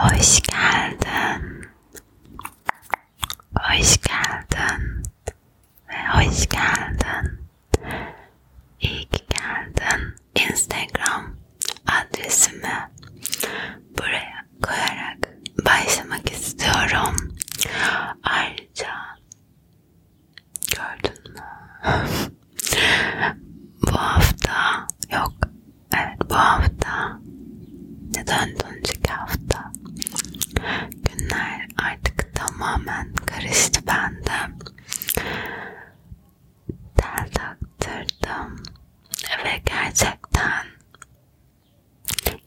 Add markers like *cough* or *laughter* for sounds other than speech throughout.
Hoş geldin. Hoş geldin. Ve hoş geldin. İyi ki geldin. Instagram adresimi buraya koyarak başlamak istiyorum. Ayrıca Gördün mü? *laughs* bu hafta yok. Evet bu hafta neden önceki hafta günler artık tamamen karıştı bende. Tel taktırdım ve gerçekten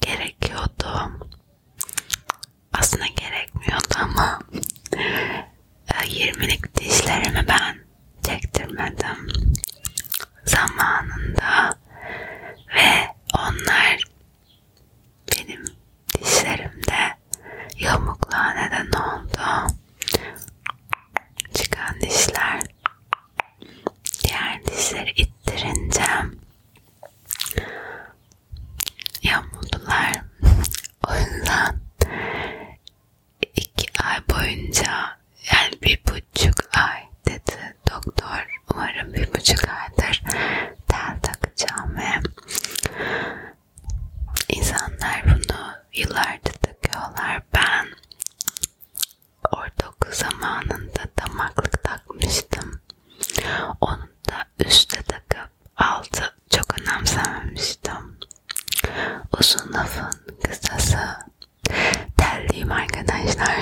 gerekiyordu. Aslında gerekmiyordu ama 20'lik dişlerimi ben çektirmedim zamanında ve onlar benim dişlerimde yamukluğa neden oldu. Çıkan dişler diğer dişleri ittirince yamuldular. o yüzden iki ay boyunca yani bir buçuk ay dedi doktor. Umarım bir buçuk aydır tel takacağım ve insanlar bunu yıllardır takıyorlar. Ben ortaokul zamanında damaklık takmıştım. Onun da üste takıp altı çok önemsememiştim. Uzun lafın kısası terliyim arkadaşlar.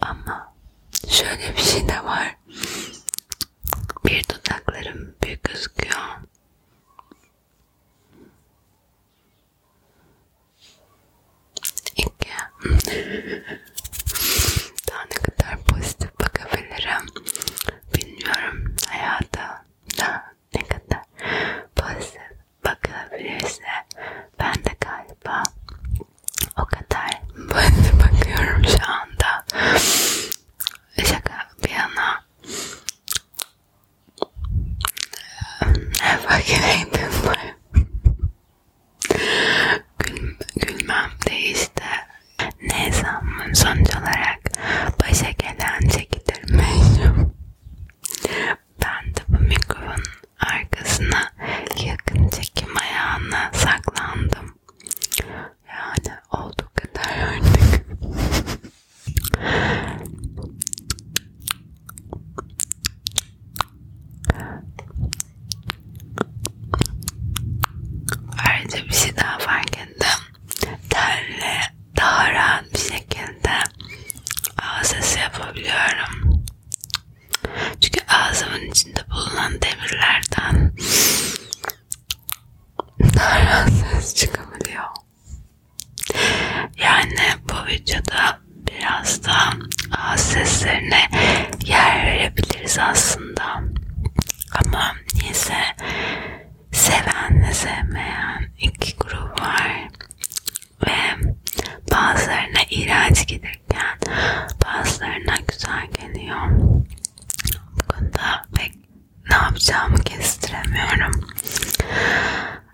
Ama şöyle bir şey de var. Bir dudaklarım büyük gözüküyor. İki. Daha ne kadar pozitif bakabilirim bilmiyorum hayata ne kadar pozitif bakılabilirse ben de galiba o kadar *laughs* pozitif bakıyorum şu anda. Şaka bir yana I fucking hate this life gül, gülmem de işte ne zaman sonuç olarak başa gelen çekilirmiş. ben de bu mikrofonun arkasına yakın çekim ayağına saklandım. Yani olduğu kadar artık. Ayrıca bir şey daha fark ettim. Tenle daha rahat bir şekilde ağız sesi şey yapabiliyorum. Çünkü ağzımın içinde bulunan demirlerden daha rahat ses çıkabiliyor. Yani bu videoda biraz da ağız seslerine yer verebiliriz aslında. Ama Bilmem niyeyse sevenle sevmeyen iki grup var ve bazılarına iğrenç gelirken bazılarına güzel geliyor. Bu konuda pek ne yapacağımı kestiremiyorum.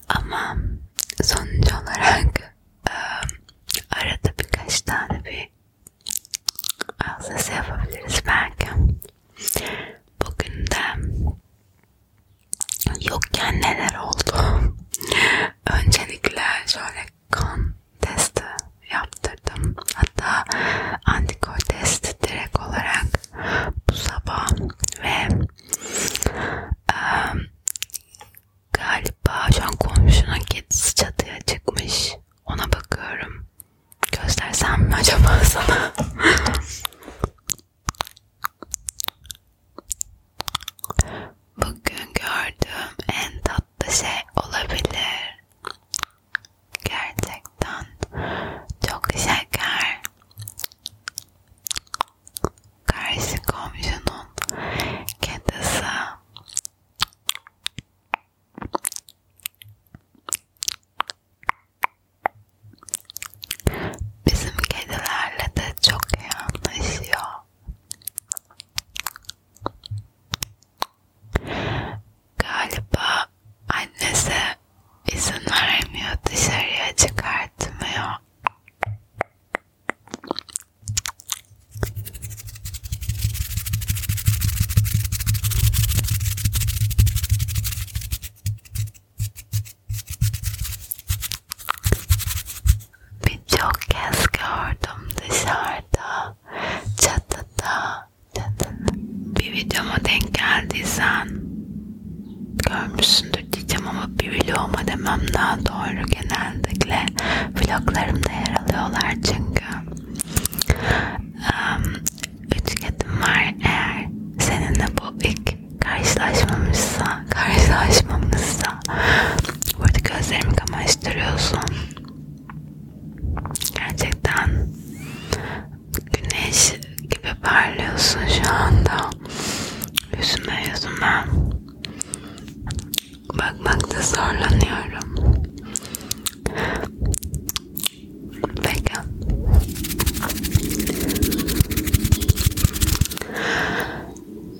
Ama sonuç olarak arada birkaç tane bir az sesi şey yapabiliriz belki. Bugün de yokken neler oldu? Öncelikle şöyle kan testi yaptırdım. Hatta antikor testi direkt olarak bu sabah ve ıı, galiba şu an komşunun kedisi çatıya çıkmış. Ona bakıyorum. Göstersem mi acaba sana? Bugün gördüğüm en tatlı şey olabilir. Gerçekten çok şeker. Karşı komşunun kedisi Bizim kedilerle de çok iyi anlaşıyor. Galiba annesi izin vermiyor dışarıya çıkartmıyor. Birçok kez gördüm dışarıda, çatıda, çatıda. Bir videoma denk geldiysen görmüşsündür diyeceğim ama bir vloguma demem daha doğru genellikle. Vloglarımda yer alıyorlar çünkü. Um, Üçgetmar eğer seninle bu ilk karşılaşmamızsa karşılaşmamızsa burada gözlerimi kamaştırıyorsun gerçekten güneş gibi parlıyorsun şu anda yüzüme yüzüme Bakmakta zorlanıyorum. Peki.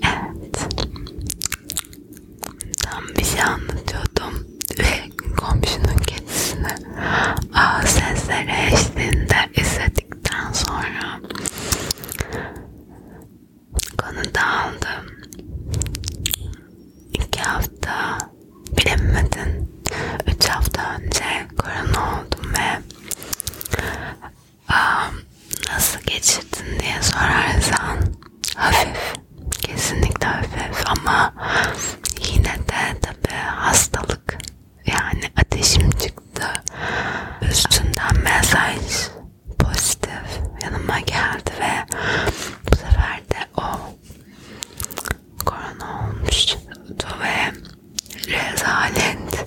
Evet. Tam bir şey anlatıyordum ve *laughs* komşunun kedisini ağ sesleri eşliğinde izledikten sonra konu dağıldı. İki hafta bilemedin. Üç hafta önce korona oldum ve aa, nasıl geçirdin diye sorarsan hafif. Kesinlikle hafif ama yine de tabi hastalık. Yani ateşim çıktı. Üstünden mesaj pozitif yanıma geldi ve bu sefer de o korona olmuştu ve rezalet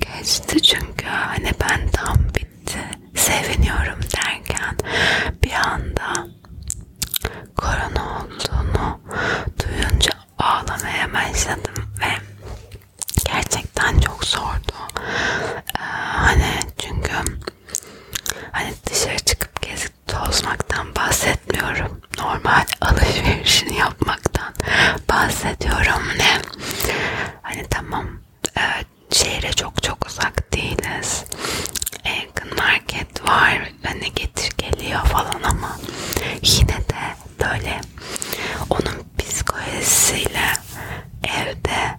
geçti çünkü hani ben tam bitti seviniyorum derken bir anda korona olduğunu duyunca ağlamaya başladım ve gerçekten çok zordu ee, hani çünkü Hani dışarı çıkıp gezip tozmaktan bahsetmiyorum. Normal alışverişini yapmaktan bahsediyorum ne? Hani tamam evet, şehre çok çok uzak değiliz. En yakın market var. Hani getir geliyor falan ama yine de böyle onun psikolojisiyle evde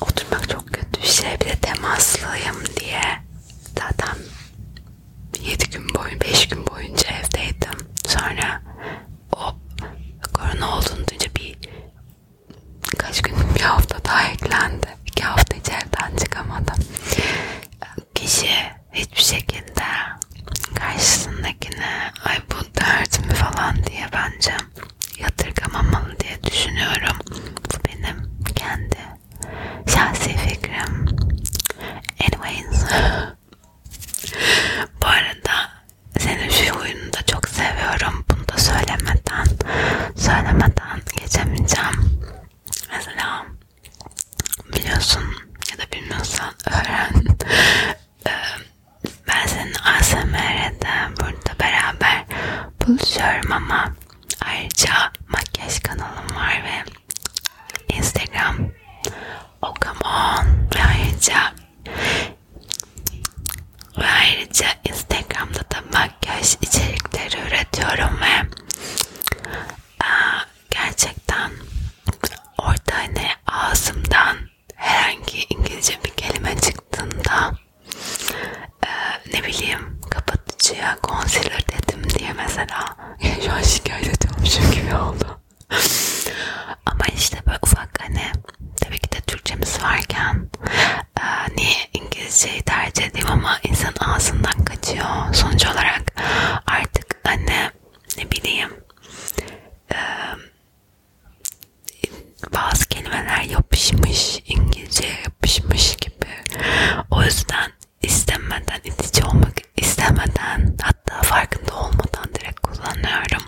oturmak çok kötü bir şey. Bir de temaslıyım diye zaten 7 gün boyunca, 5 gün boyunca evdeydim. Sonra o korona olduğunu duyunca bir kaç gün bir hafta daha eklendi. 2 hafta hiç evden çıkamadım. Kişi hiçbir şekilde karşısındakine ay bu dert mi falan diye bence yatırgamamalı diye düşünüyorum. Bu benim kendi şahsi fikrim. Anyways. *laughs* Bu arada senin şu huyunu da çok seviyorum. Bunu da söylemeden söylemeden geçemeyeceğim. Mesela biliyorsun ya da bilmiyorsan öğren. Ee, ben senin ASMR'de burada beraber buluşuyorum ama ayrıca makyaj kanalım var ve Instagram oh come on ve ayrıca ve ayrıca Instagram'da da makyaj içerikleri üretiyorum ve aa, gerçekten orada ne hani ağzımdan herhangi İngilizce bir kelime çıktığında e, ne bileyim kapatıcıya concealer dedim diye mesela *laughs* şu an şikayet ediyormuşum gibi oldu. Ama işte böyle ufak hani tabii ki de Türkçemiz varken e, niye İngilizceyi tercih edeyim ama insan ağzından kaçıyor. Sonuç olarak artık hani ne bileyim e, bazı kelimeler yapışmış, İngilizce yapışmış gibi. O yüzden istemeden, itici olmak istemeden, hatta farkında olmadan direkt kullanıyorum.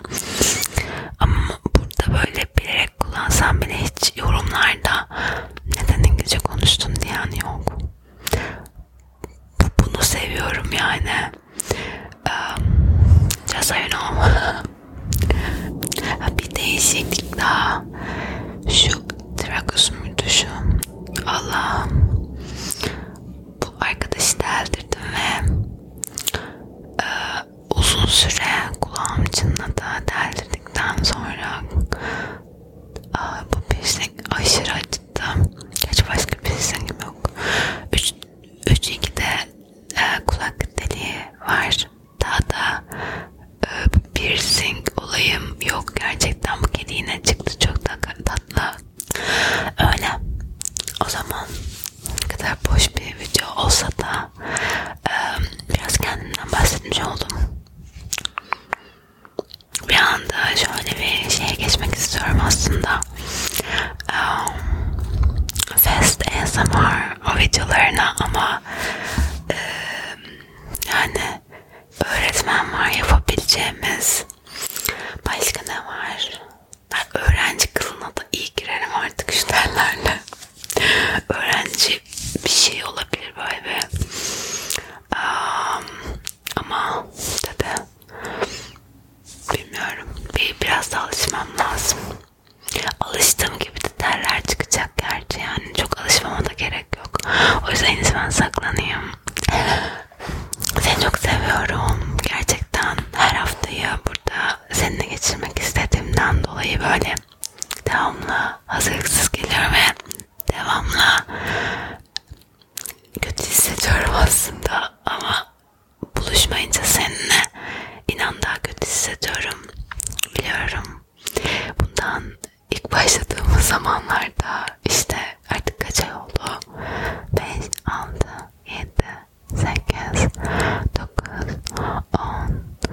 Ama burada böyle bilerek kullansam bile hiç yorumlarda neden İngilizce konuştun diyen yok. Bunu seviyorum yani. Um, just so you know. bir değişiklik daha. Şu trakus muydu şu? Allah'ım. Bu arkadaşı deldirdim ve e, uzun süre kulağım çınladı. Deldirdikten sonra a, bu piercing aşırı acıttı. Hiç başka piercingim şey yok. 3 2 de e, kulak deliği var. Daha da e, piercing olayım yok. Gerçekten bu kedi yine çıktı. Çok da tatlı. Öyle. O zaman ne kadar boş bir video olsa da e, biraz kendimden bahsetmiş oldum. Bir anda şöyle bir şeye geçmek istiyorum aslında um, Fast ASMR o videolarına ama e, yani öğretmen var yapabileceğimiz başka ne var? Ben öğrenci kılına da iyi girerim artık şu derlerle. öğrenci bir şey olabilir böyle bir. Um, ama dedi Bilmiyorum. Bir biraz da alışmam lazım. Alıştığım gibi de terler çıkacak gerçi yani çok alışmama da gerek yok. O yüzden en ben saklanayım. Seni çok seviyorum. Gerçekten her haftayı burada seninle geçirmek istediğimden dolayı böyle devamlı hazırlıksız geliyorum ve devamlı kötü hissediyorum aslında ama buluşmayınca seninle inan daha kötü hissediyorum. Biliyorum. Bundan ilk başladığımız zamanlarda işte artık kaç ay oldu? 5, 6, 7, 8,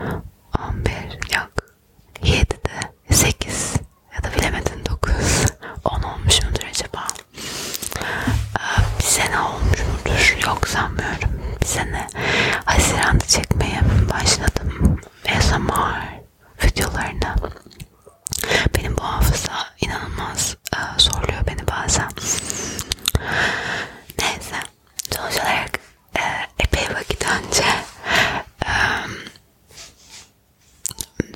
9, 10, 11 yok. 7'de 8 ya da bilemedin 9, 10 olmuş mudur acaba? Ee, bize ne olmuş mudur yok sanmıyorum bize ne Haziran'da çekmeye başladım ASMR videolarını benim bu hafıza inanılmaz e, zorluyor beni bazen neyse sonuç olarak e, epey vakit önce e,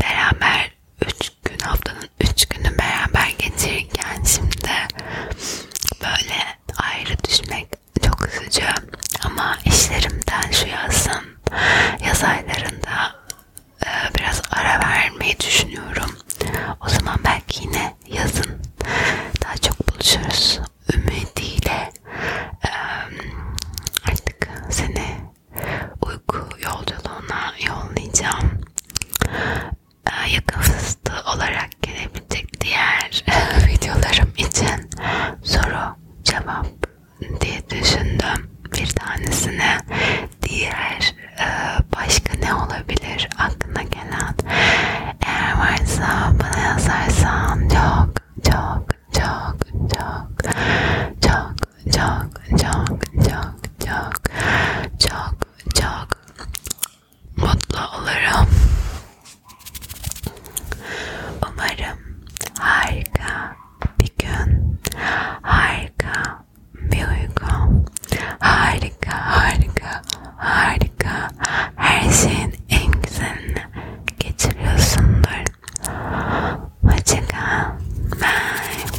beraber 3 üç gün haftanın üç günü beraber geçirirken şimdi böyle ayrı düşmek çok üzücü ama işlerimden şu yazın yaz aylarında e, biraz ara vermeyi düşünüyorum o zaman belki yine yazın daha çok buluşuruz ümidiyle e, artık seni uyku yolculuğuna yollayacağım yakın fıstığı olarak gelebilecek diğer videolarım için soru cevap diye düşündüm bir tanesine diğer başka ne olabilir aklına gelen eğer varsa bana yazarsan çok çok çok çok çok çok çok çok çok çok çok mutlu olurum. Umarım harika bir gün, harika bir uyku, harika harika harika her şeyin en güzelini geçiriyorsundur. Hoşçakal. Bye.